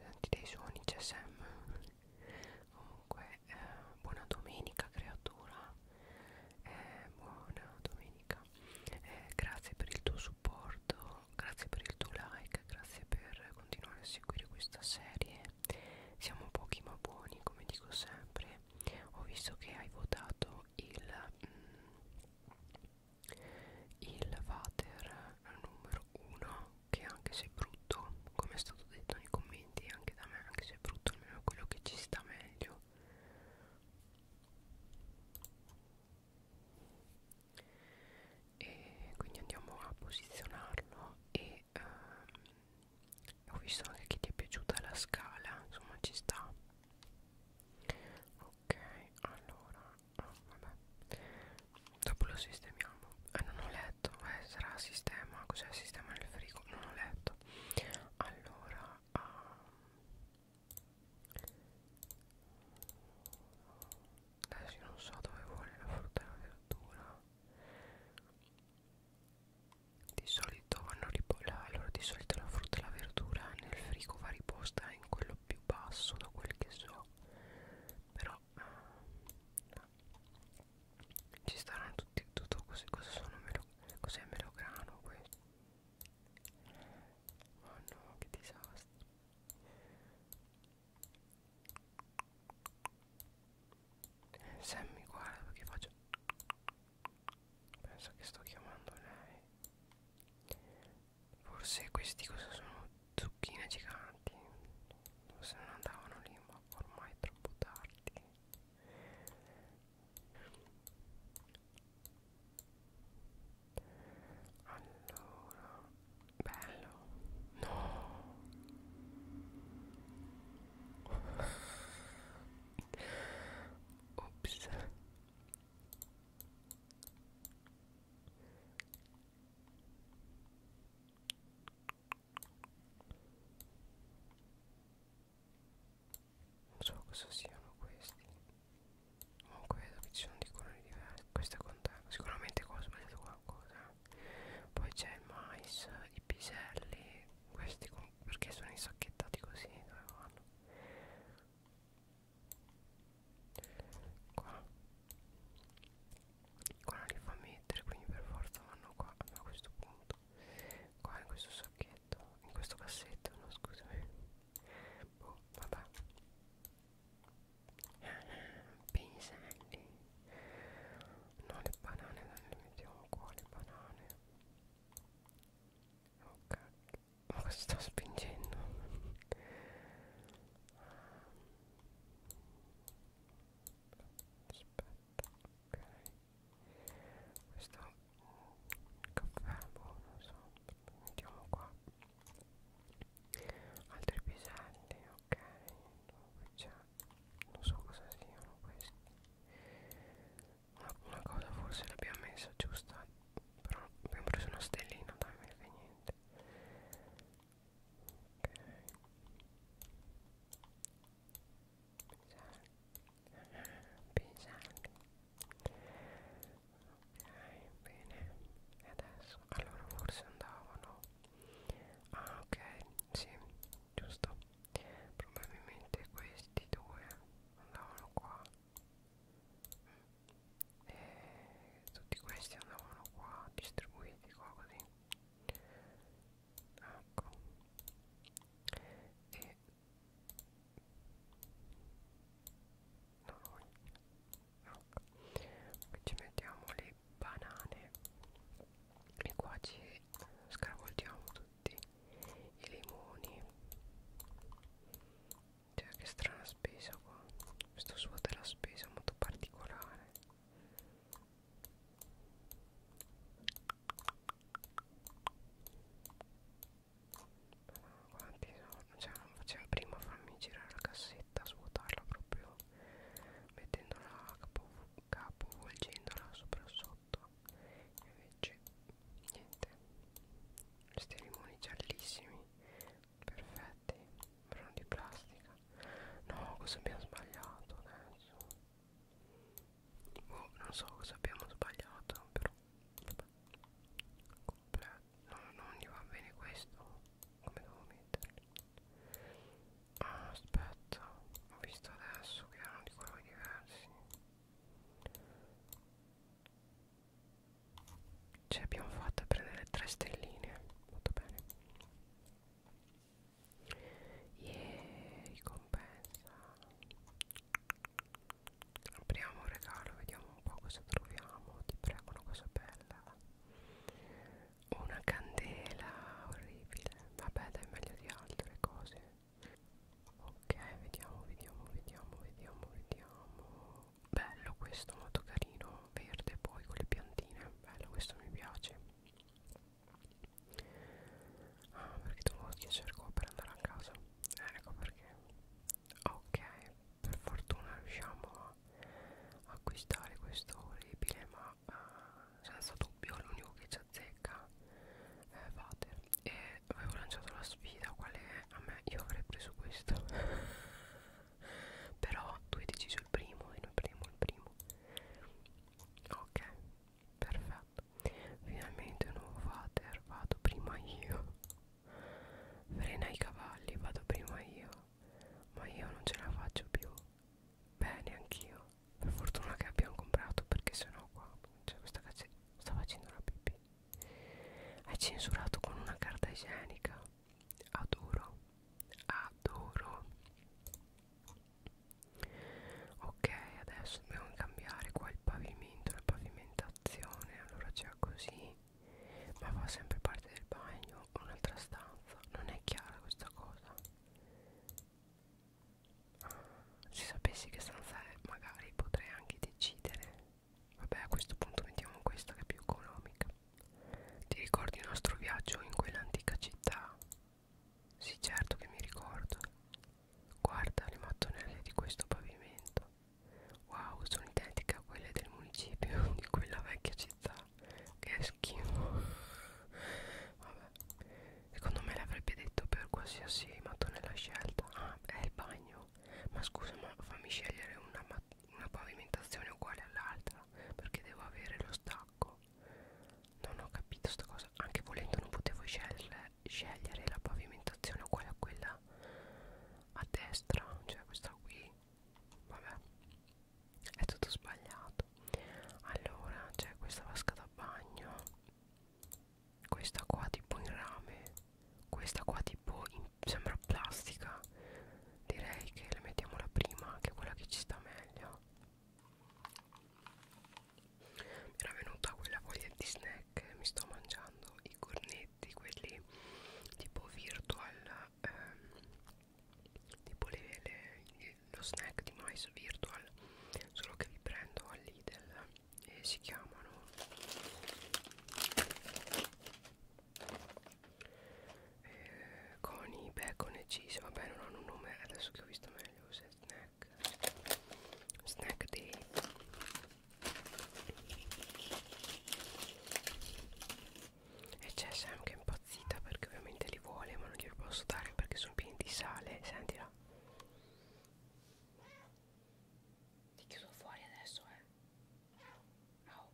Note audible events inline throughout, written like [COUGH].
senti dei suoni CSM comunque eh, buona domenica creatura eh, buona domenica eh, grazie per il tuo supporto grazie per il tuo like grazie per continuare a seguire questa serie siamo pochi ma buoni come dico sempre ho visto che hai votato il mm, il water numero 1 che anche se è brutto come è stato detto nei commenti anche da me anche se è brutto almeno è quello che ci sta meglio e quindi andiamo a posizionarlo e ehm, ho visto anche che ti è piaciuta la scala insomma ci sta ok allora oh, vabbè dopo lo sistemiamo eh, non ho letto eh, sarà sistema cos'è sistema nel frigo non ho letto allora um, adesso io non so dove vuole la frutta e la verdura di solito vanno riposta allora di solito la frutta e la verdura nel frigo va riposta in quello più basso da quel che so però eh, ci staranno tutti tutto così cosa sono melo, cos'è melograno questo oh no che disastro se mi guarda perché faccio penso che sto chiamando lei Forse questi cosa sono? Zucchine giganti. Forse non andavano lì, ma ormai è troppo tardi. Allora, bello. No. Ops non so cosa siano questi comunque vedo che ci sono di colori diversi questa conta sicuramente ho sbagliato qualcosa poi c'è il mais i piselli questi perché sono insacchettati così dove vanno qua qua non li fa mettere quindi per forza vanno qua a questo punto qua in questo sacchetto in questo cassetto no scusami boh vabbè Pinselli No le banane non le mettiamo qua le banane Ok ma cosa sta spingendo aspetta ok questo caffè boh non so mettiamo qua altri piselli ok c'è non so cosa siano questi una, una cosa forse l'abbiamo messa giusta però abbiamo preso una stellina dai me ne niente ok bene e adesso allora forse andavano ah ok sì giusto probabilmente questi due andavano qua mm e tutti questi andavano qua distribuiti qua così ecco e no, no. Poi ci mettiamo le banane e qua ci scarvoltiamo tutti i limoni cioè che strana spesa qua Questo suo della spesa molto particolare quanti sono? Cioè non faceva prima farmi girare la cassetta Svuotarla proprio Mettendola capovolgendola capo, sopra sotto Invece niente Questi limoni giallissimi perfetti erano di plastica no cosa abbiamo sbagliato adesso boh non so cosa abbiamo sbagliato però Vabbè. No, non gli va bene questo come devo metterlo ah, aspetta ho visto adesso che erano di colori diversi ci abbiamo fatto a prendere tre stelline molto bene yeah, ricompensa apriamo un regalo vediamo un po' cosa troviamo ti prego una cosa bella una candela orribile vabbè dai meglio di altre cose ok vediamo vediamo vediamo vediamo vediamo bello questo molto carino verde poi con le piantine bello questo mi piace ah perché dovevo schiacciare qua per andare a casa eh, ecco perché ok per fortuna riusciamo a acquistare questo lebile ma uh, senza dubbio l'unico che ci azzecca è Vater e avevo lanciato la sfida quale è a me io avrei preso questo [LAUGHS] però tu hai deciso il primo e noi prendiamo il primo ok perfetto finalmente un nuovo vater vado prima io frena i cavalli vado prima io ma io non ce la faccio più bene anch'io per fortuna che abbiamo comprato perché sennò qua cioè questa cazzo sta facendo la pipì è censurato con una carta igienica. Adoro. Adoro. Ok, adesso dobbiamo cambiare qua il pavimento, la pavimentazione. Allora c'è così. Ma fa sempre parte del bagno o un'altra stanza. Non è chiara questa cosa. Ah, se sapessi che stanza è, magari potrei anche decidere Vabbè, a questo punto mettiamo questa che è più economica. Ti ricordi il nostro viaggio in quell'antica città? Sì, certo che mi ricordo. Guarda le mattonelle di questo pavimento. Wow, sono identiche a quelle del municipio [LAUGHS] di quella vecchia città. Che schifo. Vabbè. Secondo me l'avrebbe detto per qualsiasi mattonella scelta. Ah, è il bagno vero ma scusa ma fammi scegliere una, una pavimentazione uguale all'altra perché devo avere lo stacco non ho capito sta cosa anche volendo non potevo scegliere, scegliere la pavimentazione uguale a quella a destra cioè questa qui vabbè è tutto sbagliato allora c'è cioè questa vasca da bagno questa qua tipo in rame questa qua tipo in sembra plastica direi che le mettiamo la prima che è quella che ci sta meglio mi era venuta quella voglia di snack mi sto mangiando i cornetti quelli tipo virtual ehm, tipo le, le, lo snack di mais virtual solo che li prendo all'idel e si chiamano eh, coni, bacon e cheese vabbè non hanno un nome adesso che ho visto meglio se snack snack day e c'è Sam che è impazzita perché ovviamente li vuole ma non glieli posso dare perché sono pieni di sale sentila ti chiudo fuori adesso eh Au,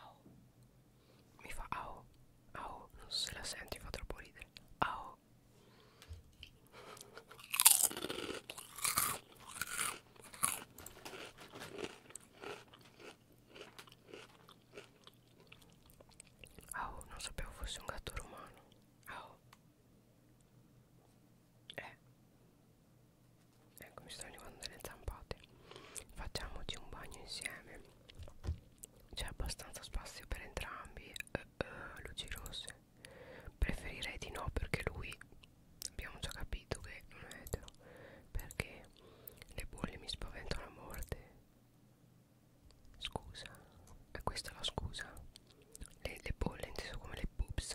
au. Mi fa au, au. Non so se la senti, fa troppo ridere. Au. Au, non sapevo fosse un gatto romano. Au eh ecco mi sto arrivando le zampate facciamoci un bagno insieme c'è abbastanza spazio per entrambi eh, eh, luci rosse preferirei di no perché lui abbiamo già capito che non è etero perché le bolle mi spaventano a morte scusa e eh, questa è la scusa le, le bolle inteso come le boobs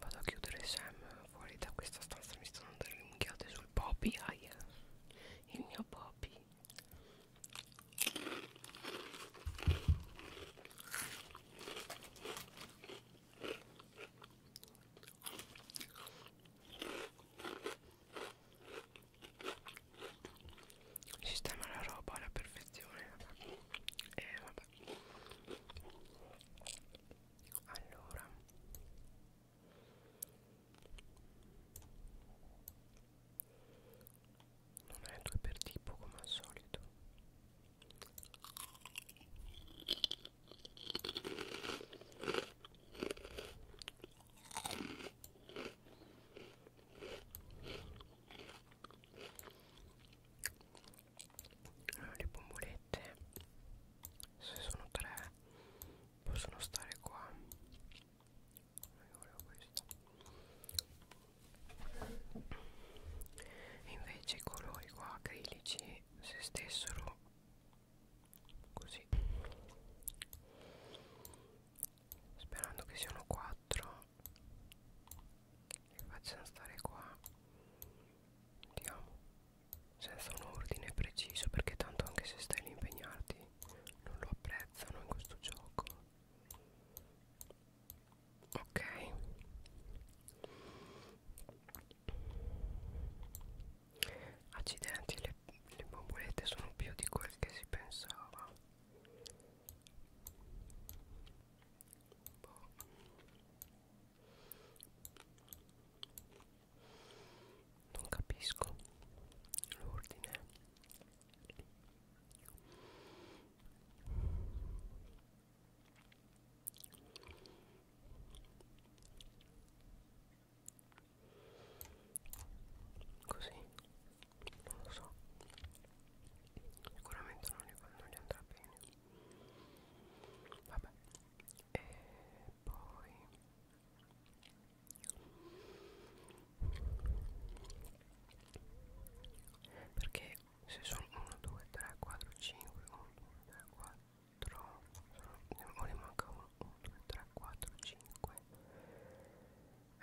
Vado a chiudere Sam fuori da questa stanza Mi stanno dando le minchiate sul Poppy Aia Il mio Poppy Sistema la roba alla perfezione e eh, vabbè vabbè allora non è due per tipo come al solito le bombolette se sono tre possono stare qua io volevo questa e invece i colori qua acrilici se stessero così sperando che siano quattro li facciano stare qua andiamo senza un ordine preciso perché tanto anche se stai lì impegnarti non lo apprezzano in questo gioco ok accidenti le, le bombolette sono più di quel che si pensava boh. non capisco l'ordine così non lo so sicuramente non, non gli andrà bene vabbè e poi perché se sono 1 2 3 4 5 1 2 3 4 sono, ne, ne manca 1 2 3 4 5 uh,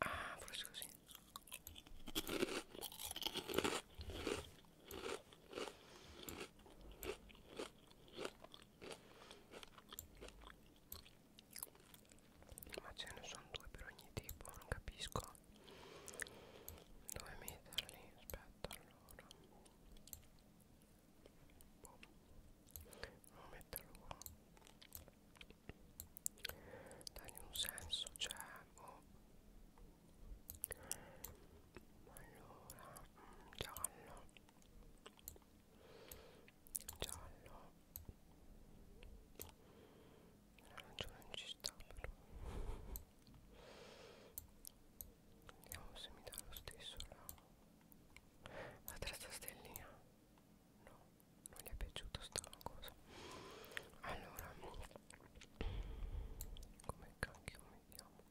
Ah, forse così. Ma ce ne sono due per ogni tipo, non capisco. Dove metterli? Aspetta allora. Boh non metterlo qua dai in un senso cioè boh. allora mm, giallo giallo l'arancione non ci sta però vediamo se mi dà lo stesso la, la terza stellina no non gli è piaciuto sta cosa allora come cacchio mi chiamo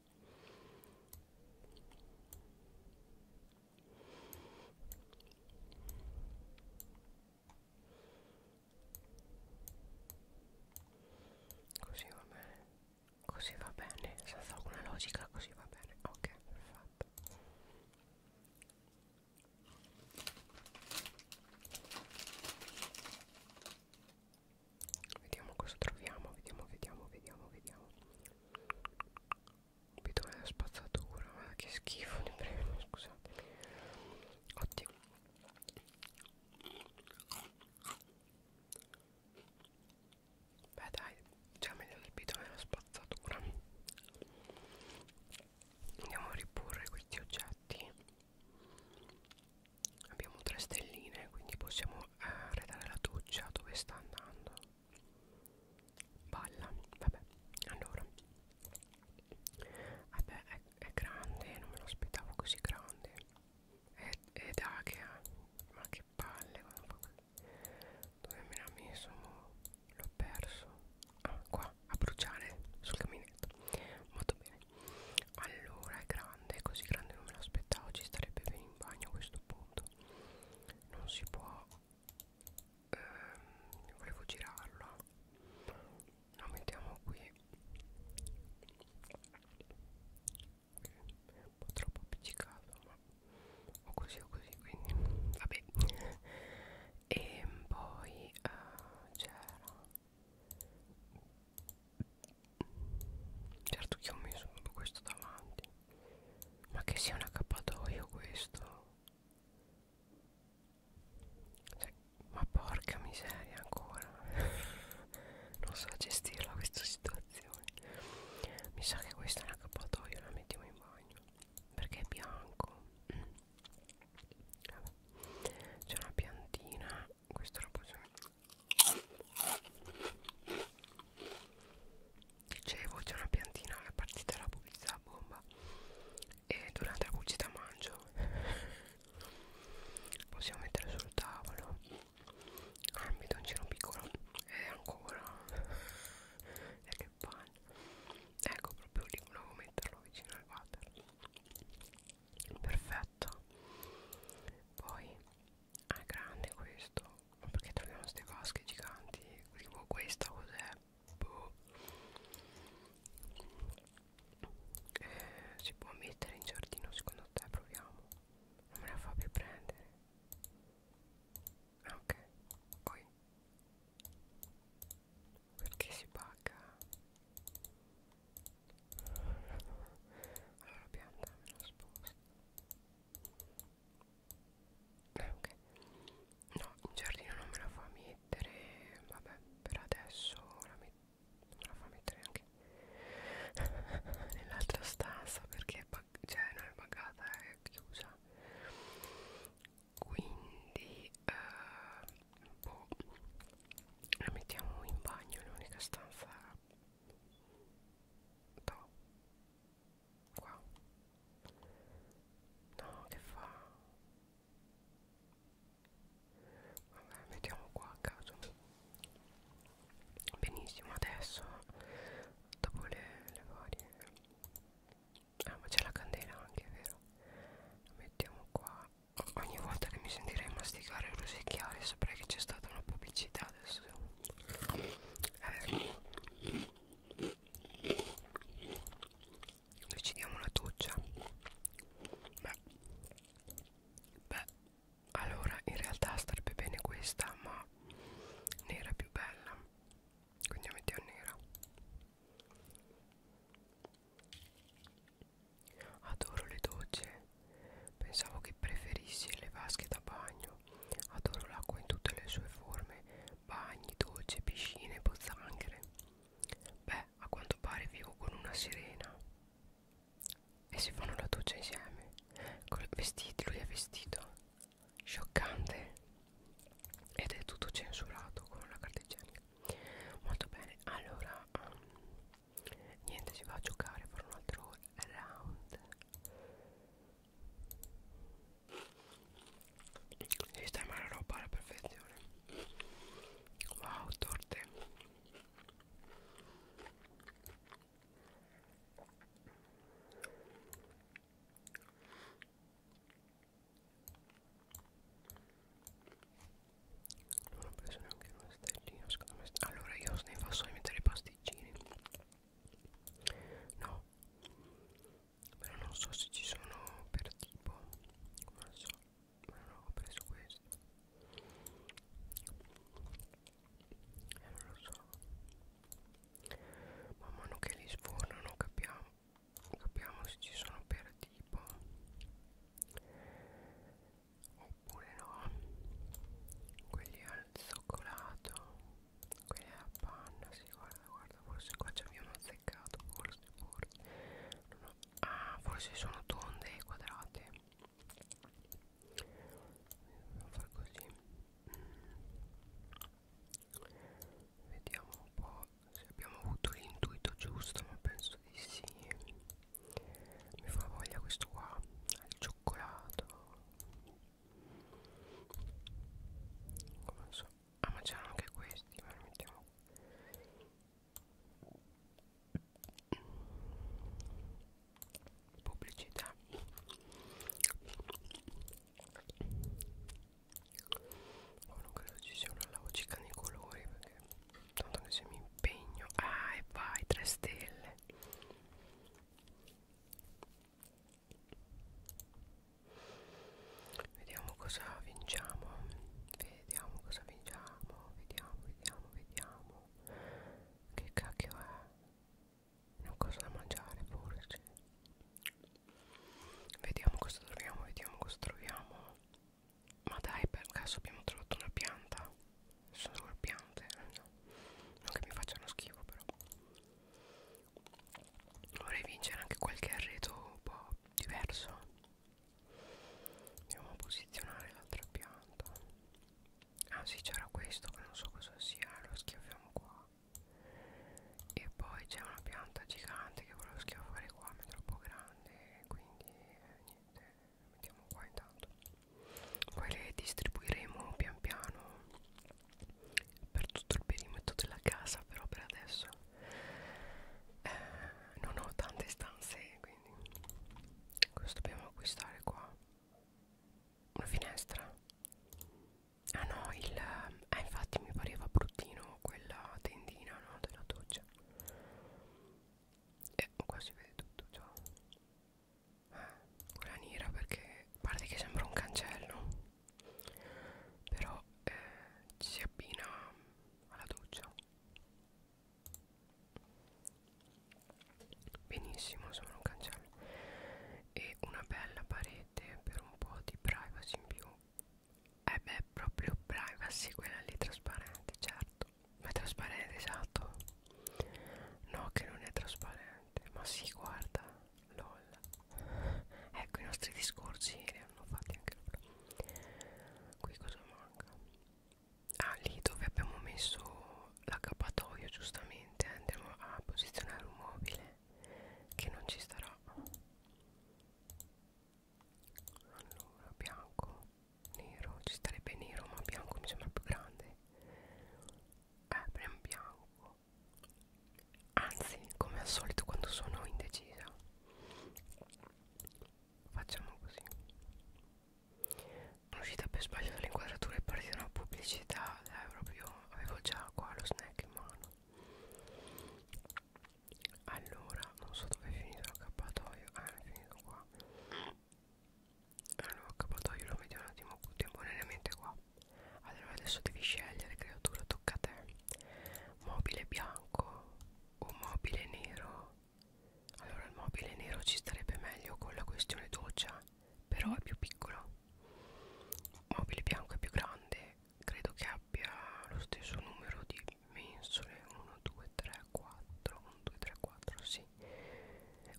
così va bene così va bene senza alcuna logica così va bene ok perfetto Vediamo cosa troviamo, vediamo, vediamo, vediamo, vediamo. Bidone da spazzatura, ma che schifo di premio, scusate. Ottimo. Beh dai, già meglio del bidone da spazzatura andiamo a riporre questi oggetti abbiamo tre stelline quindi possiamo eh, arredare la doccia dove sta andando balla vabbè allora vabbè è, è grande non me lo aspettavo così grande è, è da che ma che palle dove me l'ha messo l'ho perso ah qua a bruciare sul caminetto molto bene allora è grande così grande non me l'aspettavo ci starebbe bene in bagno a questo punto non si può ehm, volevo girarlo lo mettiamo qui un po' troppo appiccicato ma o così o così quindi vabbè e poi uh, c'era certo che ho messo tutto questo davanti ma che sia un accappatoio questo cioè, ma porca miseria ancora [LAUGHS] non so gestirla questa situazione mi sa che questo è un accappatoio la mettiamo in bagno perché è bianco mm. c'è una piantina questo lo posso dicevo c'è una piantina alla partita della pubblicità a bomba e durante la pubblicità mangio possiamo mettere sul tavolo ambito ah, un cino piccolo e ancora è che che bagno ecco proprio lì volevo metterlo vicino al water perfetto poi ah, è grande questo ma perché troviamo queste vasche giganti tipo questa cos'è boh. eh, si può mettere in giardino secondo te proviamo non me la fa più prendere ok qui perché si paga allora pianta me la sposta eh, ok no in giardino non me la fa mettere vabbè per adesso la metto non la fa mettere anche [LAUGHS] nell'altra stanza perché è cioè non è pagata è chiusa quindi eh, boh, la mettiamo in bagno l'unica stanza no qua no che fa vabbè mettiamo qua a caso benissimo adesso dopo le, le varie Ah ma c'è la candela anche, vero? La mettiamo qua Ogni volta che mi sentirei masticare e rosicchiare saprei che c'è stata una pubblicità adesso eh. Noi ci diamo una doccia Beh Beh allora in realtà starebbe bene questa ma ne era più bella quindi la mettiamo nera adoro le docce pensavo che preferissi le vasche da bagno adoro l'acqua in tutte le sue forme bagni, docce, piscine, pozzanghere beh a quanto pare vivo con una sirena e si fanno la doccia insieme con il vestito lui è vestito scioccante ed è tutto censurato con la carta igienica molto bene allora um, niente si va a giocare per un altro round sistema la roba alla perfezione wow torte non ho preso neanche uno stellino secondo me Allora io ne posso mettere i pasticcini No Però non so se ci sono per tipo Non so Ma no ho preso questo eh, non lo so Man mano che li sfornano capiamo, capiamo se ci sono per tipo oppure no quelli al cioccolato quelli alla panna si sì, guarda guarda forse qua ci abbiamo azzeccato forse forse no, no. ah forse sono tonde e quadrate dobbiamo far così mm vediamo un po' se abbiamo avuto l'intuito giusto ma penso di sì mi fa voglia questo qua al cioccolato non so ah ma c'erano anche questi ma li mettiamo pubblicità Oh, non credo ci sia una logica nei colori perché tanto che se mi impegno ah e vai 3 stelle vediamo cosa vinciamo vediamo cosa vinciamo vediamo vediamo vediamo che cacchio è non cosa da mangiare forse vediamo cosa troviamo vediamo cosa troviamo ma dai per caso abbiamo trovato una pianta sono due piante eh, no. non che mi facciano schifo però vorrei vincere anche qualche arredo un po' diverso andiamo a posizionare l'altra pianta ah sì c'era questo che non so cosa sia lo schiaffiamo qua e poi c'è una pianta gigante che volevo schiaffare qua ma è troppo grande quindi eh, niente mettiamo qua intanto poi le distribuiremo pian piano per tutto il perimetro della casa però per adesso eh, non ho tante stanze quindi questo dobbiamo acquistare qua una finestra ah no il eh, infatti mi pareva bruttino quella tendina no, della doccia e eh, qua si vede tutto già eh, quella nera perché a parte che sembra un cancello però eh, ci si abbina alla doccia benissimo sembra un cancello e una bella parete per un po' di privacy in più eh beh proprio privacy quella lì trasparente certo ma è trasparente esatto no che non è trasparente ma si guarda lol ecco i nostri discorsi li hanno fatti anche loro qui cosa manca ah lì dove abbiamo messo l'accappatoio giustamente andiamo a posizionare un mobile che non ci starà allora bianco nero ci starebbe nero ma bianco mi sembra più grande eh prendiamo bianco anzi come al solito quando sono indecisa facciamo così sono uscita per sbaglio dall'inquadratura e partita una pubblicità è proprio avevo già qua lo snack in mano allora non so dove è finito l'accappatoio ah è finito qua allora l'accappatoio lo vediamo un attimo contemporaneamente qua allora adesso devi scegliere creatura tocca a te mobile bianco o mobile nero allora il mobile nero ci starebbe meglio con la questione doccia però è più piccolo mobile bianco è più grande credo che abbia lo stesso numero di mensole 1 2 3 4 1 2 3 4 sì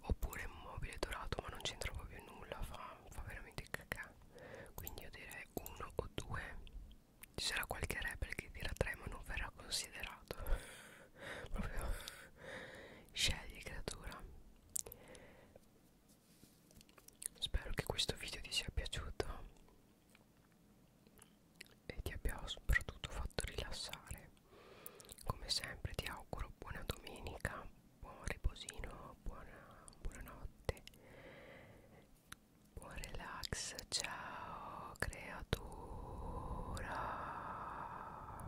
oppure mobile dorato ma non c'entra proprio nulla fa, fa veramente cacà quindi io direi 1 o 2 ci sarà qualche rebel che dirà 3 ma non verrà considerato [LAUGHS] proprio scegli creatura Spero che questo video ti sia piaciuto e ti abbia soprattutto fatto rilassare. Come sempre ti auguro buona domenica, buon riposino, buona, buonanotte, buon relax, ciao creatura.